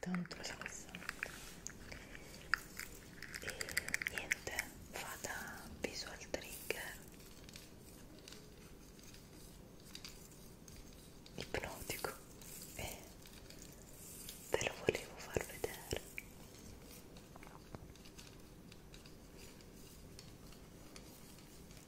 tanto rilassante e niente vada visual trigger ipnotico e ve lo volevo far vedere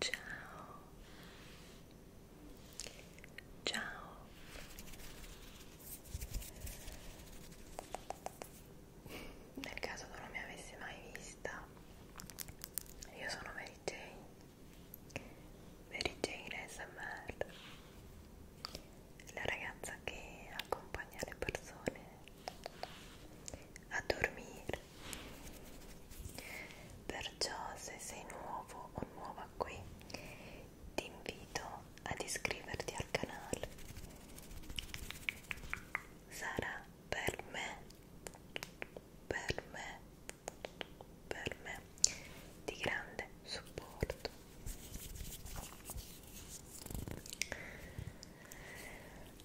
Ciao. Ciao. Nel caso tu non mi avessi mai vista, io sono Mary Jane Mary Jane ASMR la ragazza che accompagna le persone a dormire perciò se sei nuovo o nuova qui ti invito ad iscriverti al canale sarà per me per me per me di grande supporto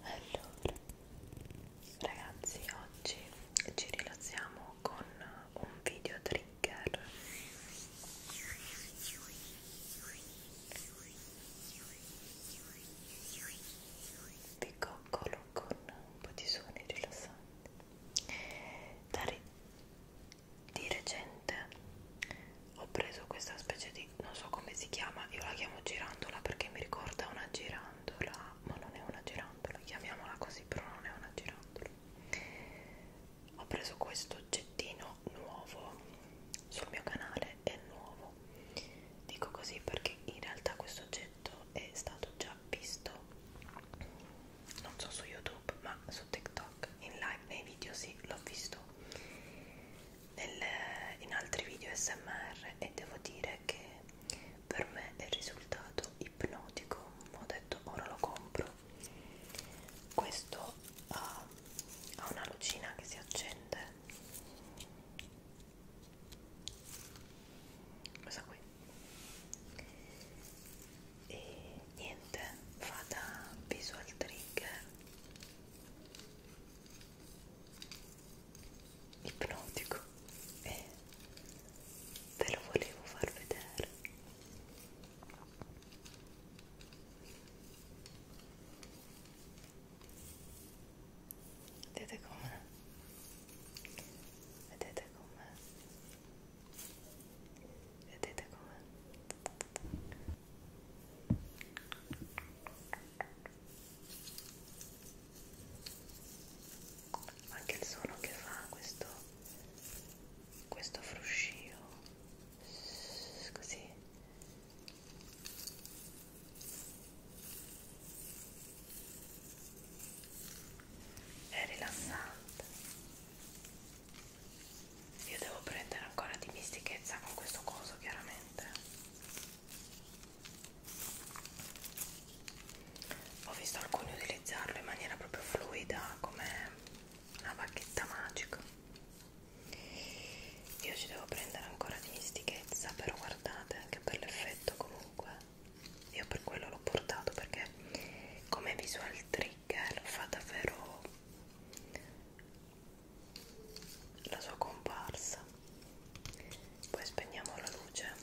allora ragazzi oggi ci rilassiamo con un video trigger vi coccolo con un po' di suoni rilassanti Dare, di recente ho preso questa specie di non so come si chiama, io la chiamo girandola perché mi ricorda una girandola, ma non è una girandola, chiamiamola così, però non è una girandola. Ho preso questo oggettino nuovo sul mio canale, è nuovo. Dico così perché in realtà questo oggetto è stato già visto non so su youtube ma su tiktok in live nei video sì l'ho visto Nel, in altri video smr e devo dire che per me è risultato ipnotico ho detto ora lo compro questo ha, ha una lucina che si accende questa qui e niente fa da visual trigger ipnotico e ve lo volevo far vedere vedete come Vedete com'è? Vedete com'è? Anche il suono che fa questo questo fruscio così è rilassante io devo prendere ancora di mistichezza con questo coso chiaramente ho visto alcuni utilizzarlo in maniera proprio fluida come una bacchetta magica io ci devo prendere ancora di mistichezza però guardate anche per l'effetto comunque io per quello l'ho portato perché come visual trigger fa davvero la sua comparsa poi spegniamo la luce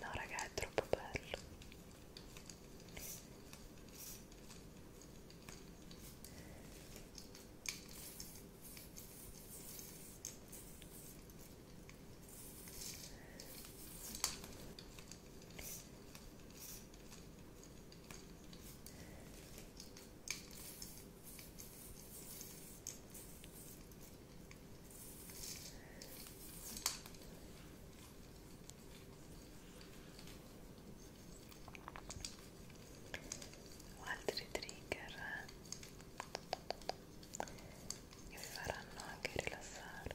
No raga è troppo bello o altri trigger che vi faranno anche rilassare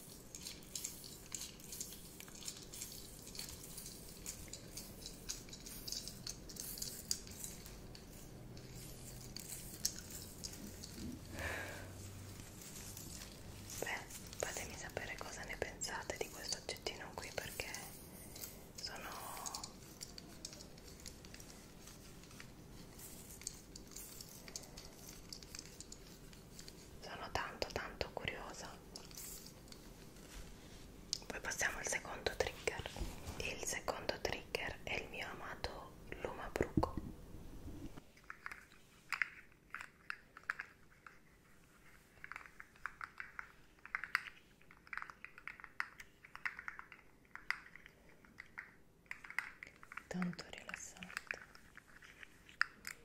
Beh, fatemi sapere cosa ne pensate di questo oggettino qui perché sono sono tanto tanto curiosa poi passiamo al secondo trigger il secondo trigger è il mio amato lumabruco tanto rilassante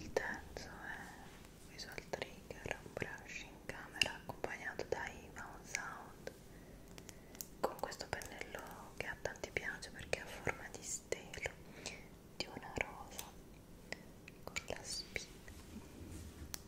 Il terzo è Visual Trigger, un brush in camera accompagnato da Ivan Sound con questo pennello che a tanti piace perché ha forma di stelo di una rosa con la spina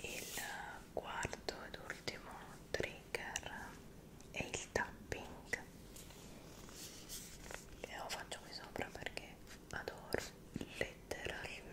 il quarto ed ultimo trigger è il tapping e lo faccio qui sopra perché adoro letteralmente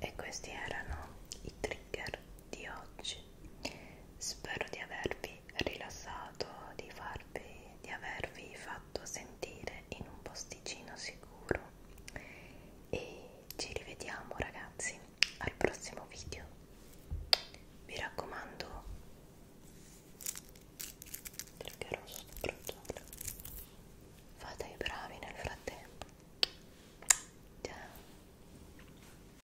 E questi erano i trigger di oggi. Spero di avervi rilassato di, farvi, di avervi fatto sentire in un posticino sicuro e ci rivediamo ragazzi al prossimo video vi raccomando triggerò sotto fate i bravi nel frattempo ciao